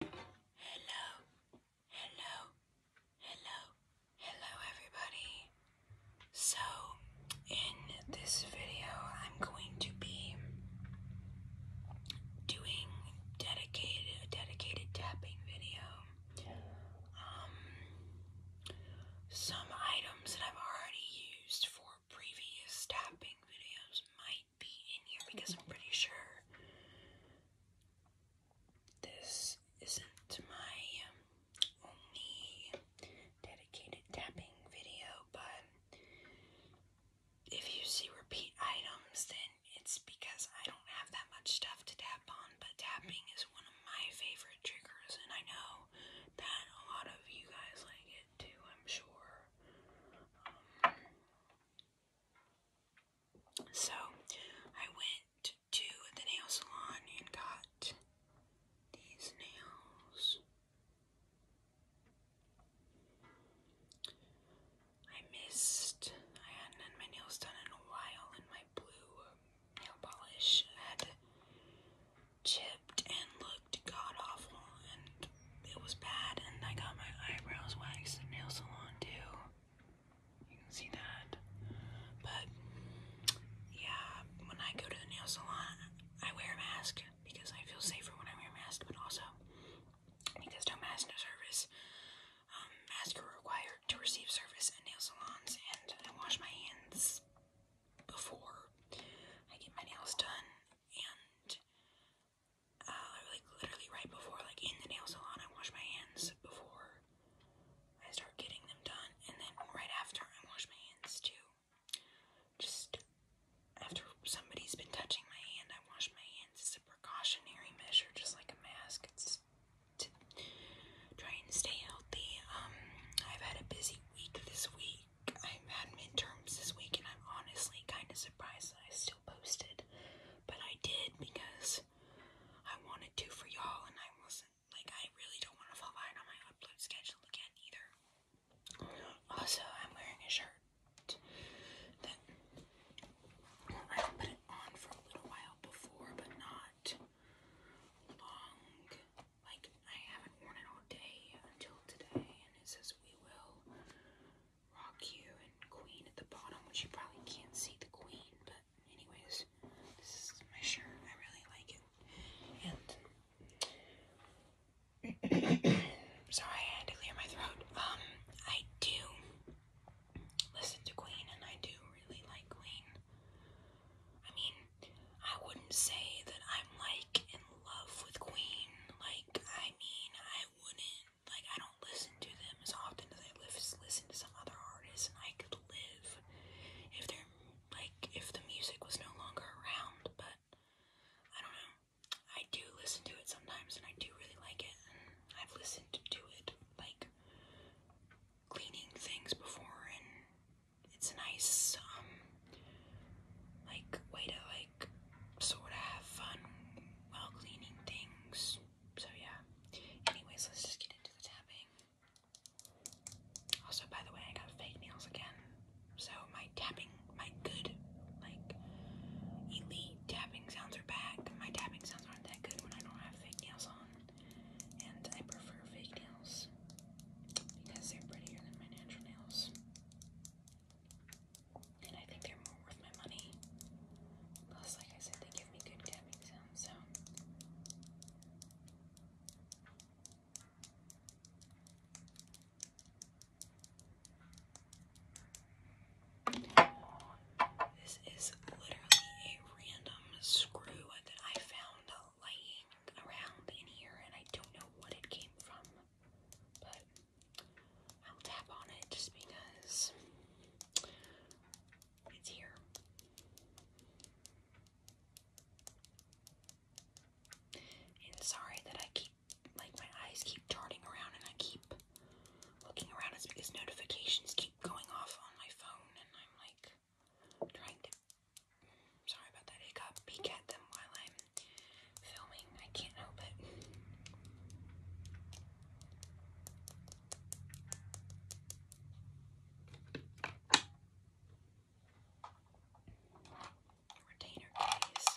Hello, hello, hello, hello, everybody. So, in this video, I'm going to be doing dedicated a dedicated tapping video. Um, some items that I've already used for previous tapping videos might be in here because I'm pretty sure this isn't my um, only dedicated tapping video, but if you see repeat items, then it's because I don't have that much stuff to tap on, but tapping is one of my favorite triggers, and I know that a lot of you guys like it too, I'm sure. Um, so I went to the nail salon and got these nails. I missed, I hadn't had my nails done in a while, and my blue nail polish had chipped and looked god awful, it was bad, and I got my eyebrows waxed at nail salon too. You can see that. But yeah, when I go to the nail salon, I wear a mask because I feel safer when I wear a mask, but also because no mask, no service. Um, masks are required to receive service at nail salons, and I wash my hands before I get my nails done. And uh, like literally right before, like in the nail salon, I wash my hands before I start getting them done, and then right after I wash my hands too. Just after somebody's been touching my hand, I wash my hands. It's a precautionary measure, just like a mask. It's to try and stay healthy. Um, I've had a busy week this week. I've had midterms this week, and I'm honestly kind of surprised that I still posted but I did because I wanted to for y'all, and I wasn't like I really don't want to fall behind on my upload schedule again either. Also, I'm wearing a shirt that I put it on for a little while before, but not long. Like I haven't worn it all day until today, and it says "We will Rock you and Queen at the bottom, which you probably can't see the Queen, but anyways, this is my shirt. I really like it. And sorry, I had to clear my throat. Um, I do listen to Queen, and I do really like Queen. I mean, I wouldn't say that I'm like in love with Queen. Like, I mean, I wouldn't like, I don't listen to them as often as I listen to some other artists, and I could live if they're like if the music was no longer around. But I don't know. I do listen to it sometimes, and I do really like it. And I've listened to it like cleaning things before, and it's a nice um like way to like sort of have fun while cleaning things. So yeah. Anyways, let's just get into the tapping. Also, by the way, I got fake nails again. So my tapping, my good, like elite tapping sounds are back. My tapping sounds aren't that good when I don't have fake nails on, and I prefer fake nails because they're prettier than my natural nails and I think they're more worth my money. Plus, like I said, they give me good tapping sounds, so. This is literally a random screw that I found lying around in here, and I don't know what it came from, but I'll tap on it just because it's here. And sorry that I keep, like, my eyes keep darting around and I keep looking around. It's because notifications keep going off on my phone and I'm like trying to. Sorry about that hiccup. Peek at them while I'm filming. I can't help it. Retainer case.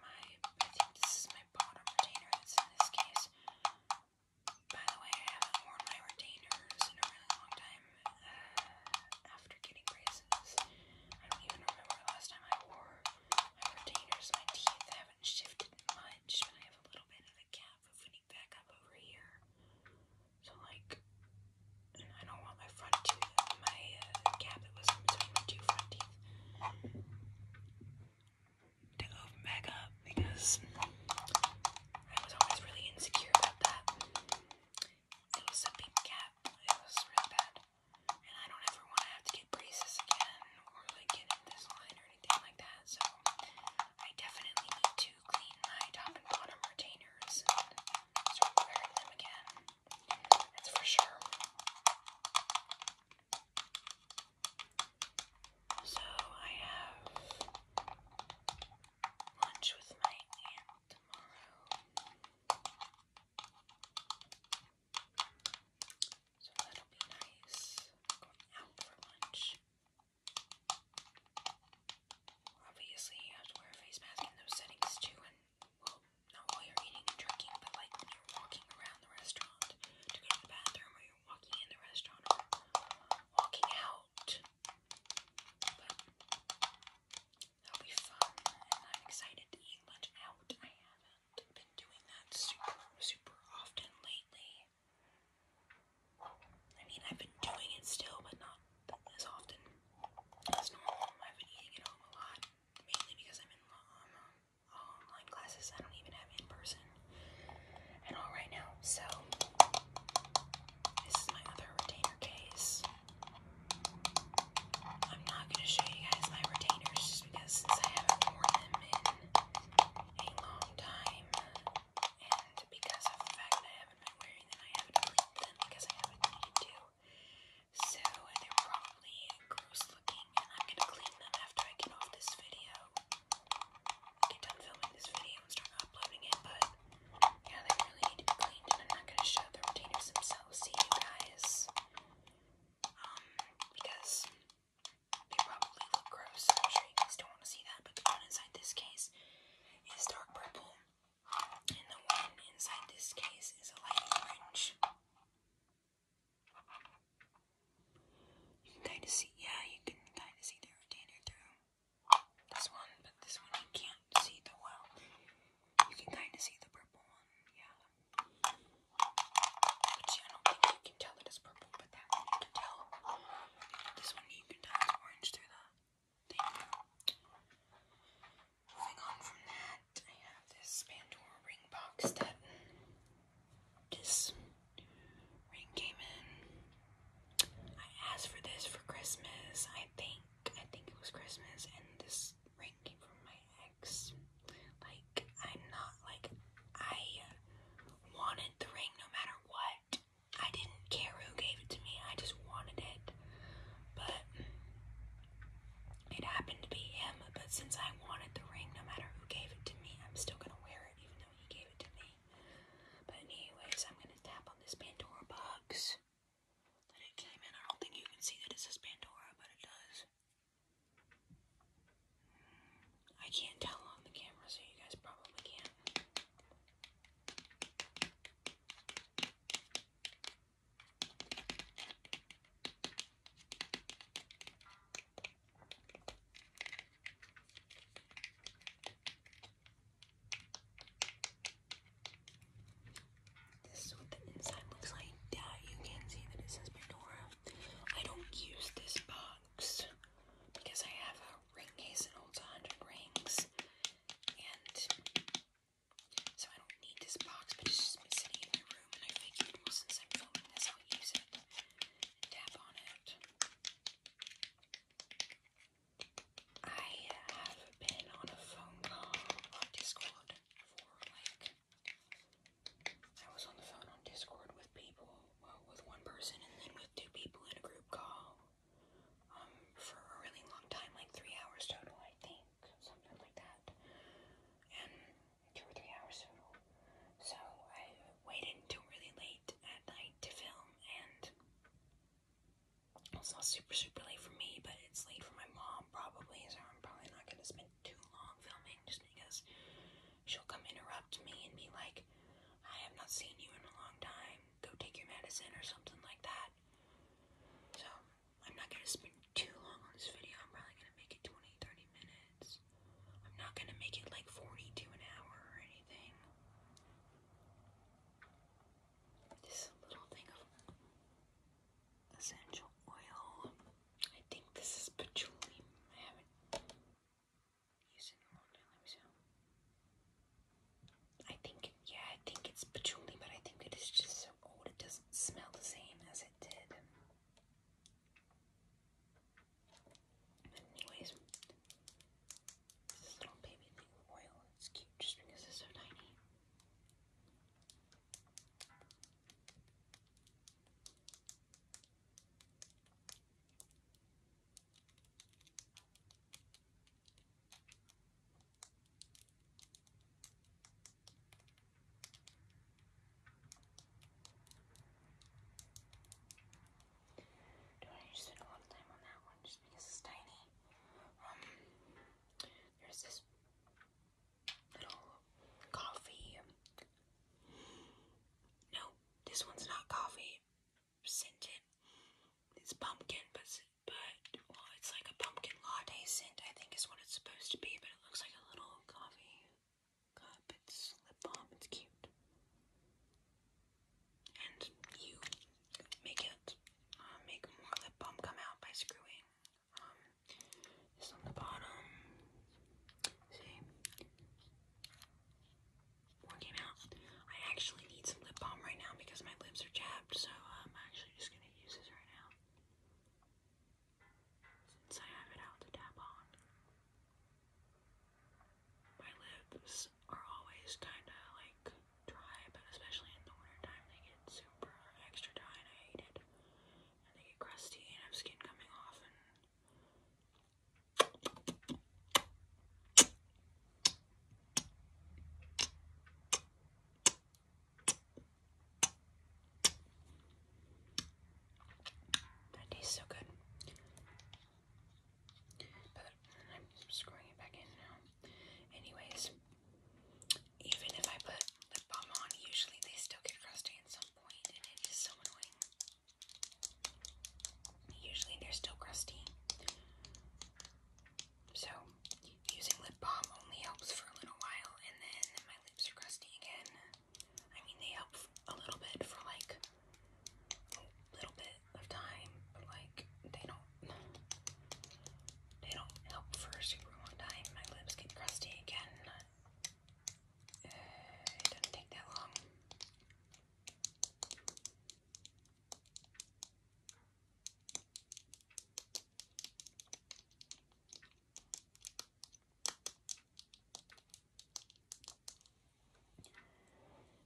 My, I think this is my bottom retainer that's in this case. By the way, I haven't worn my retainers in a really long time. Uh, after getting braces. I don't even remember the last time I wore my retainers. My teeth haven't shifted much, but I have a little bit of a gap opening back up over here. So, like, I don't want my front tooth, my uh, gap that was between my two front teeth to open back up because I was always really insecure about that. It was a big gap. It was really bad. And I don't ever want to have to get braces again or like get in this line or anything like that. So I definitely need to clean my top and bottom retainers and them again. That's for sure. So I have lunch with my aunt tomorrow. So that'll be nice. Going out for lunch. Obviously, you have to wear a face mask in those settings too, and not while you're eating and drinking, but like when you're walking around the restaurant to go to the bathroom, or you're walking in the restaurant, or walking out. That'll be fun, and I'm excited to eat lunch out. I haven't been doing that super, super often lately. I mean, I've been doing it still, but not as often as normal. I've been eating at home a lot, mainly because I'm in um, online classes. I don't even have in person at all right now. So, this is my other retainer case. I'm not going to show you guys my retainers just because since I haven't worn them in a long time and because of the fact that I haven't been wearing them, I haven't worn them because I haven't needed to. So they're probably gross looking and I'm going to clean them after I get off this video. get done filming this video and start uploading it, but yeah, they really need to be cleaned and I'm not going to show the retainers themselves See you guys um, because they probably look gross. you guys don't want to see that, but the one inside this case is dark purple, and the one inside this case is a light orange. You can kind of see, yeah, you can kind of see the retainer through this one, but this one you can't see the well. You can kind of see the purple one, yeah. But I don't think you can tell it's purple, but that one tell. This one you can tell is orange through the Moving on from that, I have this Pandora ring box that this ring came in. I asked for this for Christmas, I think. I think it was Christmas, and this ring came from my like, I'm not, like, I wanted the ring no matter what. I didn't care who gave it to me, I just wanted it. But it happened to be him, but since I wanted the ring no matter who gave it to me, I'm still gonna wear it even though he gave it to me. But anyways, I'm gonna tap on this Pandora box it came in. I don't think you can see that it says Pandora, but it does. I can't tell on the camera, so you guys probably can this is what the inside looks like. Yeah, you can see that it says Pandora. I don't use this box because I have a ring case that holds 100 rings. And so I don't need this box, but it's just sitting in my room. And I figured, well, since I'm filming this, I'll use it tap on it. I have been on a phone call on Discord for like I was on the phone on Discord with people, well, with one person and then with two people in a group call um, for a really long time, like three hours total, I think, something like that. And two or three hours total. So I waited until really late at night to film, and it's not super, super late for me, but it's late for my mom probably, so I'm probably not gonna spend too long filming just because she'll come interrupt me and be like, I have not seen you in a long time, go take your medicine or something like that. So I'm not gonna spend too long on this video. I'm probably gonna make it 20, 30 minutes. I'm not gonna make it like 40 to an hour or anything. This little thing of essential oil. I think this is patchouli. I haven't used it in a long Let me see. I think, yeah, I think it's patchouli, but I think it is just so old it doesn't smell the same as it did. But anyways, this little baby thing oil. It's cute just because it's so tiny. Do I need spend a lot of time on that one just because it's tiny? Um, there's this little coffee. No, this one's not coffee scented. It's pumpkin, but but it's like a pumpkin latte scent. I think is what it's supposed to be, but it looks like a little coffee cup. It's lip balm. It's cute. And you make it uh, make more lip balm come out by screwing um, on the bottom. See? One came out. I actually need some lip balm right now because my lips are chapped, so I'm actually just gonna use this right now. Since I have it out to tap on. My lips are always kind of like dry, but especially in the winter time they get extra dry and I hate it. And they get crusty and have skin coming off that tastes so good. But I'm screwing it back in now. Anyways, even if I put lip balm on, usually they still get crusty at some point, and it is so annoying. Usually they're still crusty. So, using lip balm only helps for a little while, and then my lips are crusty again. I mean, they help a little bit for like a little bit of time, but like, they don't. They don't help for a super long time. My lips get crusty again. Uh, it doesn't take that long.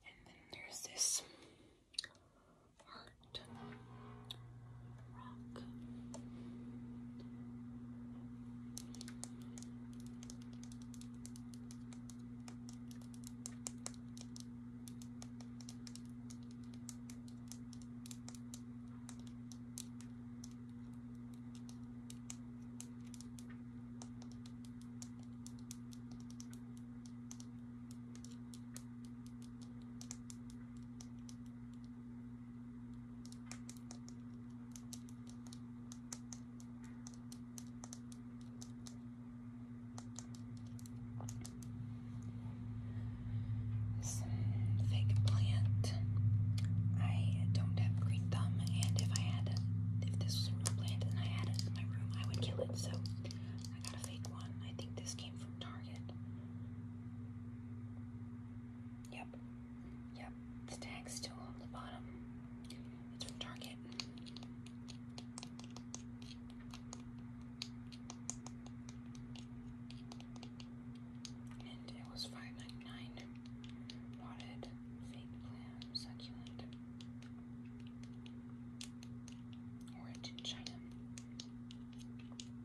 And then there's this Heart Rock fake plant. I don't have green thumb, and if I had, if this was a real plant and I had it in my room, I would kill it. So I got a fake one. I think this came from Target. Yep. Yep. The tag's still on the bottom. It's from Target. And it was five ninety nine. Potted fake plant succulent. Orange China.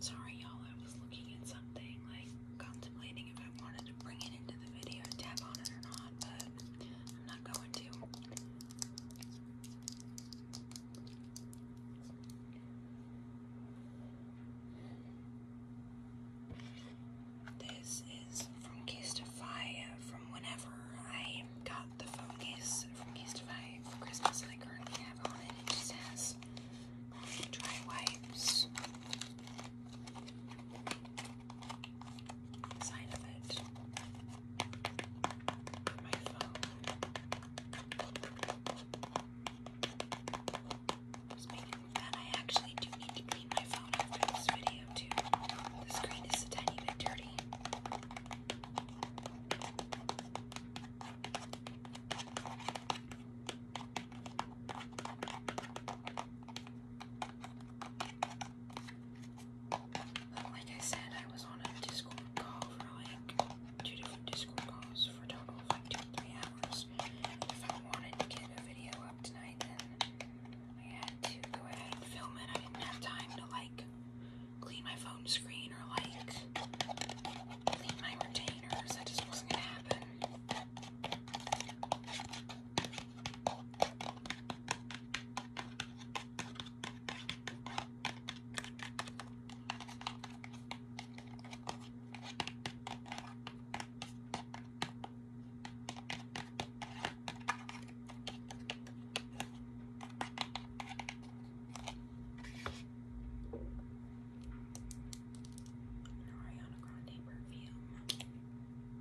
Sorry, y'all, I was looking at something, like contemplating if I wanted to bring it into the video, tap on it or not, but not going to. This is from Casetify from whenever I got the phone case from Casetify for Christmas I currently have on it. It just um, dry wipes side of it my phone. I actually do need to clean my phone after this video too. The screen is a tiny bit dirty. Like I said, I was on a Discord call for like two different Discord calls for total of like two three hours. If I wanted to get a video up tonight, then I had to go ahead and film it. I didn't have time to like clean my phone screen or like clean my retainers. That just wasn't gonna happen. Ariana Grande perfume.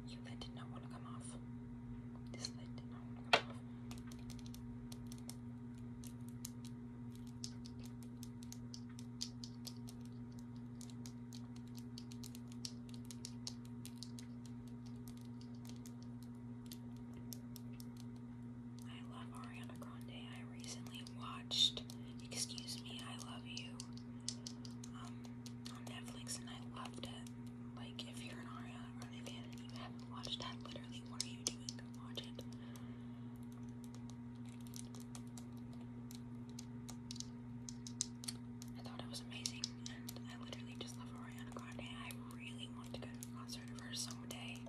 You that did not want to come off. I love Ariana Grande. I recently watched Excuse Me, I Love You um, on Netflix and I loved it. Like, if you're an Ariana fan and you haven't watched that, literally, what are you doing? watch it. I thought it was amazing, and I literally just love Ariana Grande. I really want to go to a concert of hers someday.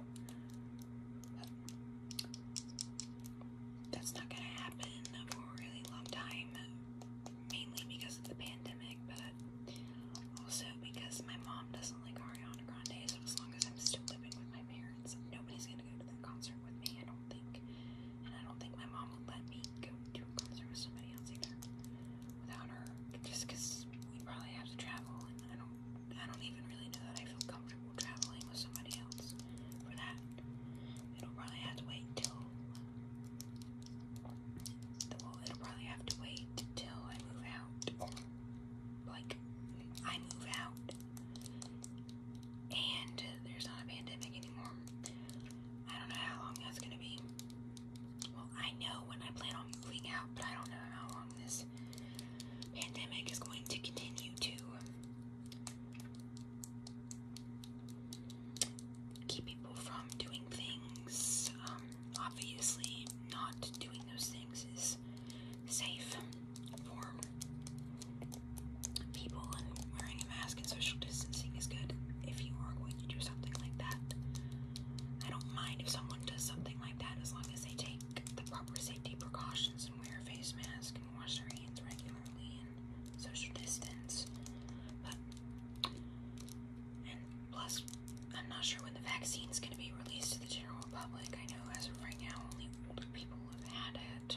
that's not gonna happen for a really long time, mainly because of the pandemic, but also because my mom doesn't like Ariana Grande, so as long as I'm still living with my parents, nobody's gonna go to that concert with me, I don't think. And I don't think my mom would let me go to a concert with somebody else either without her, just because we probably have to travel, and I don't, I don't even really know that I feel comfortable traveling with somebody else for that. It'll probably have to wait till well, it'll probably have to wait till I move out. Like, I move out. And there's not a pandemic anymore. I don't know how long that's gonna be. Well, I know when I plan on moving out, but I don't know how long this pandemic is going to continue to keep people from doing things. Um, obviously, not doing those things is safe for people, and wearing a mask and social distancing is good if you are going to do something like that. I don't mind if someone does something like that as long as they take the proper safety precautions and wear a face mask and wash their hands regularly and social distance. But plus, I'm not sure when the vaccine's going to be released to the general public. I know as of right now, only older people have had it.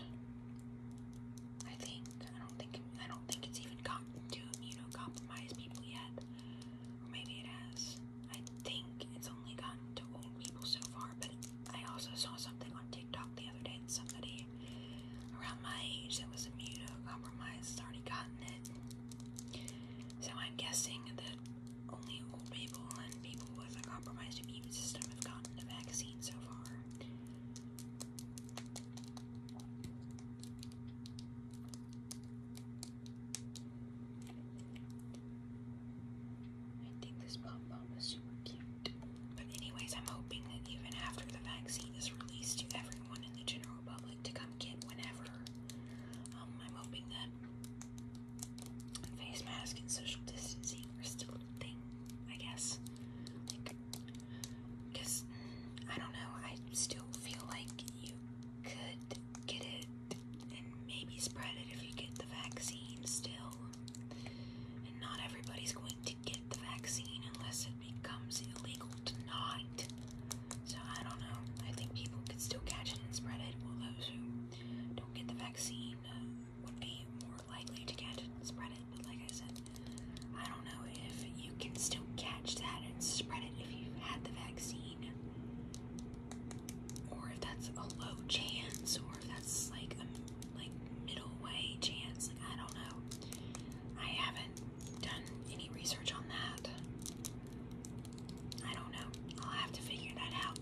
I think I don't think I don't think it's even gotten to immunocompromised people yet, or maybe it has. I think it's only gotten to old people so far. But I also saw something on TikTok the other day that somebody around my age that was immunocompromised had already gotten it. So I'm guessing that only old people and people with a compromised immune system have gotten the vaccine so far. I think this pom pom is super cute. But, anyways, I'm hoping that even after the vaccine is released to everyone, everyone the general public to come get whenever. Um, I'm hoping that face mask and social distancing are still a thing, I guess. because I don't know, I still feel like you could get it and maybe spread it if you get the vaccine still. And not everybody's going to get the vaccine unless it becomes illegal tonight. So I don't know. I think people could still catch it and spread it. Well, those who don't get the vaccine uh, would be more likely to catch it and spread it. But like I said, I don't know if you can still catch that and spread it if you've had the vaccine, or if that's a low chance, or if that's like a like middle way chance. I don't know. I haven't done any research on that. I don't know. I'll have to figure that out.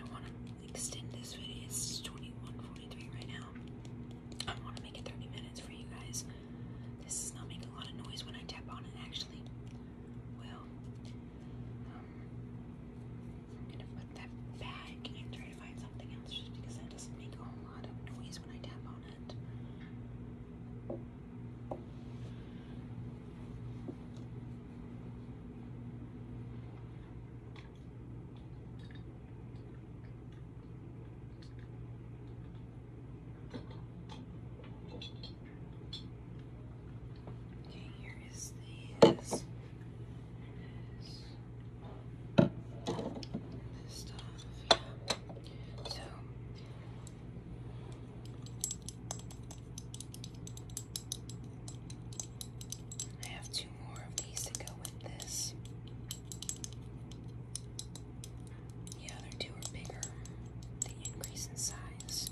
I want to extend this video. It's 21:43 right now. I want to make it 30 minutes for you guys. This is not making a lot of noise when I tap on it, actually. Well, um, I'm gonna put that back and throw to find something else just because that doesn't make a whole lot of noise when I tap on it. Okay, here this, this I have two more of these to go with this. The other two are bigger. They increase in size.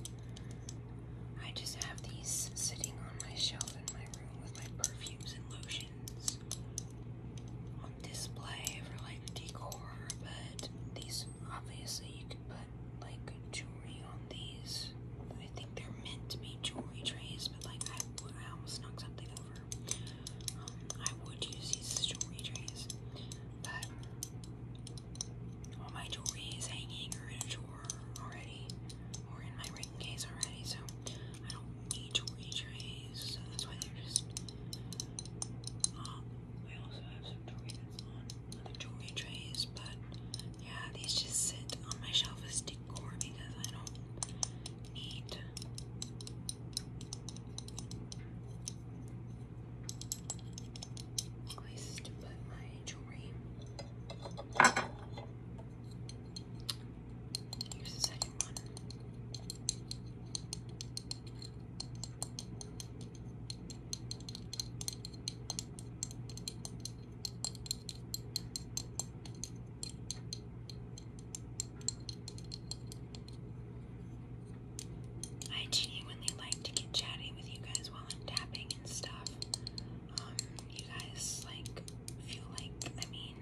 I just have these sitting on my shelf in my room with my perfumes and lotions on display for like decor, but these obviously you could put like jewelry on these. I think they're meant to be jewelry trays, but like I, I almost knocked something over. Um, I would use these as jewelry trays, but all my jewelry is hanging or in a drawer already, or in my Okay, so I don't need to read so that's why they're just. Um, also have some jewelry trays, but yeah, these just sit on my shelf as decor because I don't need. Places to put my jewelry. Here's the second one. I genuinely like to get chatty with you guys while I'm tapping and stuff. Um, you guys like I feel like, I mean,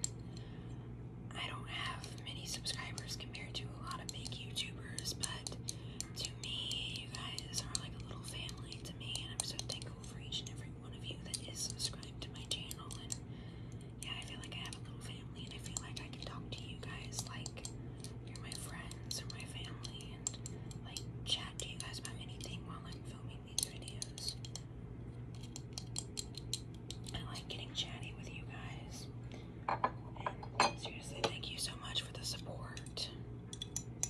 I don't have many subscribers compared to a lot of big YouTubers, but to me, you guys are like a little family to me, and I'm so thankful for each and every one of you that is subscribed to my channel. And yeah, I feel like I have a little family, and I feel like I can talk to you guys like you're my friends or my family, and like chat to you guys about anything while I'm filming these videos. I like getting chatty with you guys. seriously, thank you so much for the support.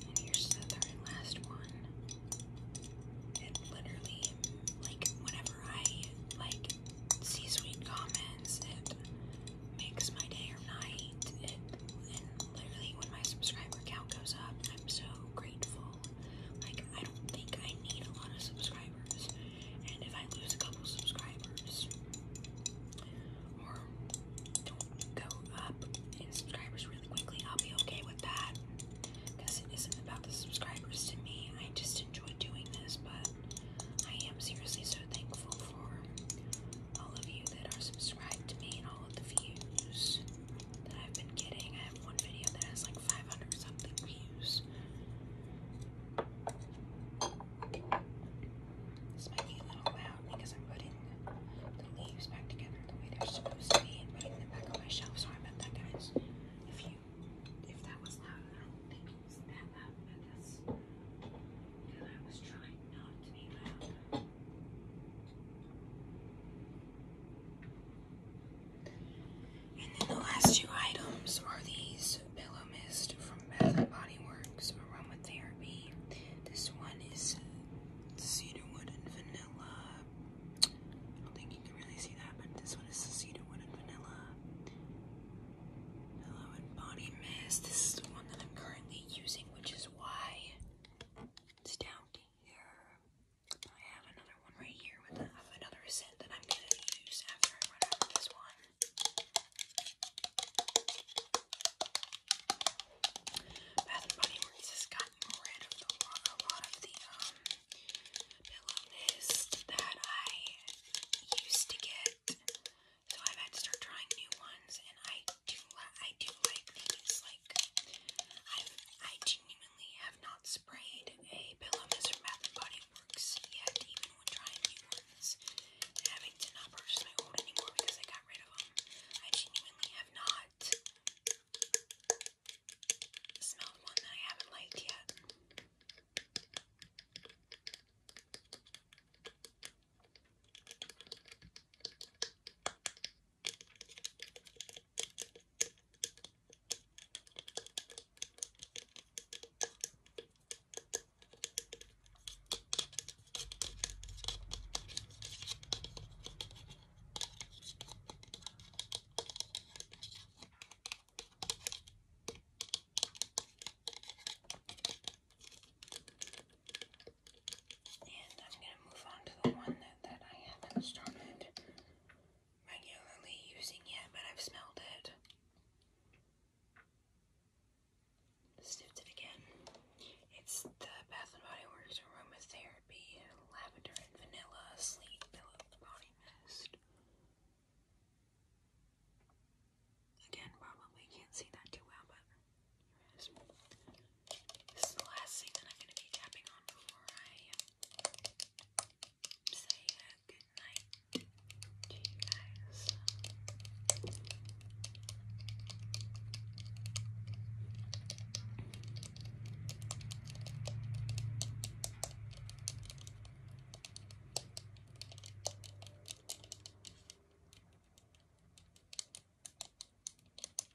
And here's the third and last one. It literally, like, whenever I like see sweet comments, it makes my day or night. It, literally, when my subscriber count goes up, I'm so grateful like, I don't think I need a lot of subscribers. And if I lose a couple subscribers, or don't go up in subscribers really quickly, I'll be okay with that. Because it isn't about the subscribers to me. I just enjoy doing this, but I am seriously so thankful for all of you that are subscribed to me and all of the views that I've been getting. I have one video that has like 500 something views. This might be a little loud because I'm putting the leaves back together the way they're supposed to be and putting them back on my shelf. Sorry about that, guys. If you, if that was loud, I don't think it was that loud, I was trying not to be loud. And then the last two items are these pillow mist from Bath and Body Works Aromatherapy. This one is cedarwood and vanilla. I don't think you can really see that, but this one is cedarwood and vanilla. Pillow and body mist. This is the one that I'm currently using, which is why it's down here. I have another one right here with a, another scent that I'm going to use after I run out of this one. Bath and Body Works has gotten rid of a lot of the um, pillow mist that I used to get, so I've had to start trying new ones, and I do, I do like these. Like, i I genuinely not sprayed a pillow mist Bath Body Works yet, even when trying new ones. Having to not purchase my old anymore because I got rid of them. I genuinely have not smelled one that I haven't liked yet. And I'm going to move on to the one that, that I haven't started regularly using yet, but I've smelled it. Sniffed it again. It's the Bath and Body Works Aromatherapy Lavender Vanilla Sleep Pillow Body Mist. Again, probably can't see that too well, but here it is. This is the last thing that I'm going to be tapping on before I say good night to you guys.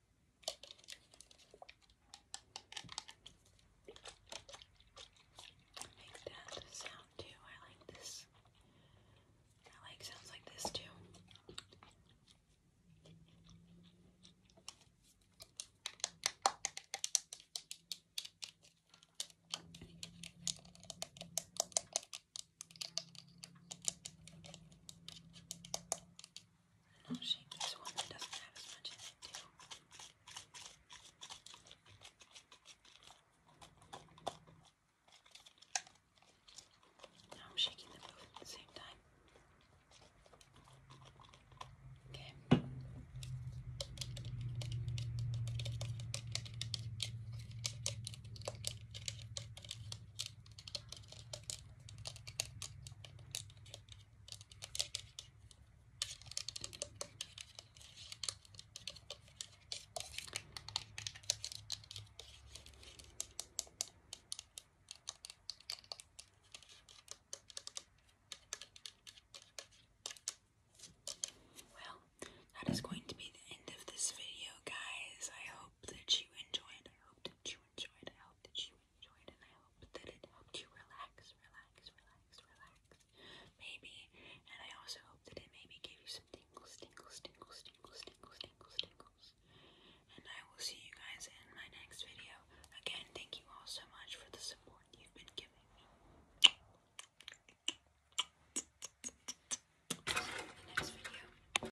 I like that sound too. I like this. I like sounds like this too. And I'll shake this one that doesn't have as much in it too. Now I'm shaking them both at the same time. Okay. Well, that is going to be the end of this video, guys. I hope that you enjoyed. I hope that you enjoyed. I hope that you enjoyed, and I hope that it helped you relax, relax, relax, relax. Maybe, and I also hope that it maybe gave you some tingles, tingles, tingles, tingles, tingles, tingles, tingles. And I will see you guys in my next video. Again, thank you all so much for the support you've been giving me. See you in the next video.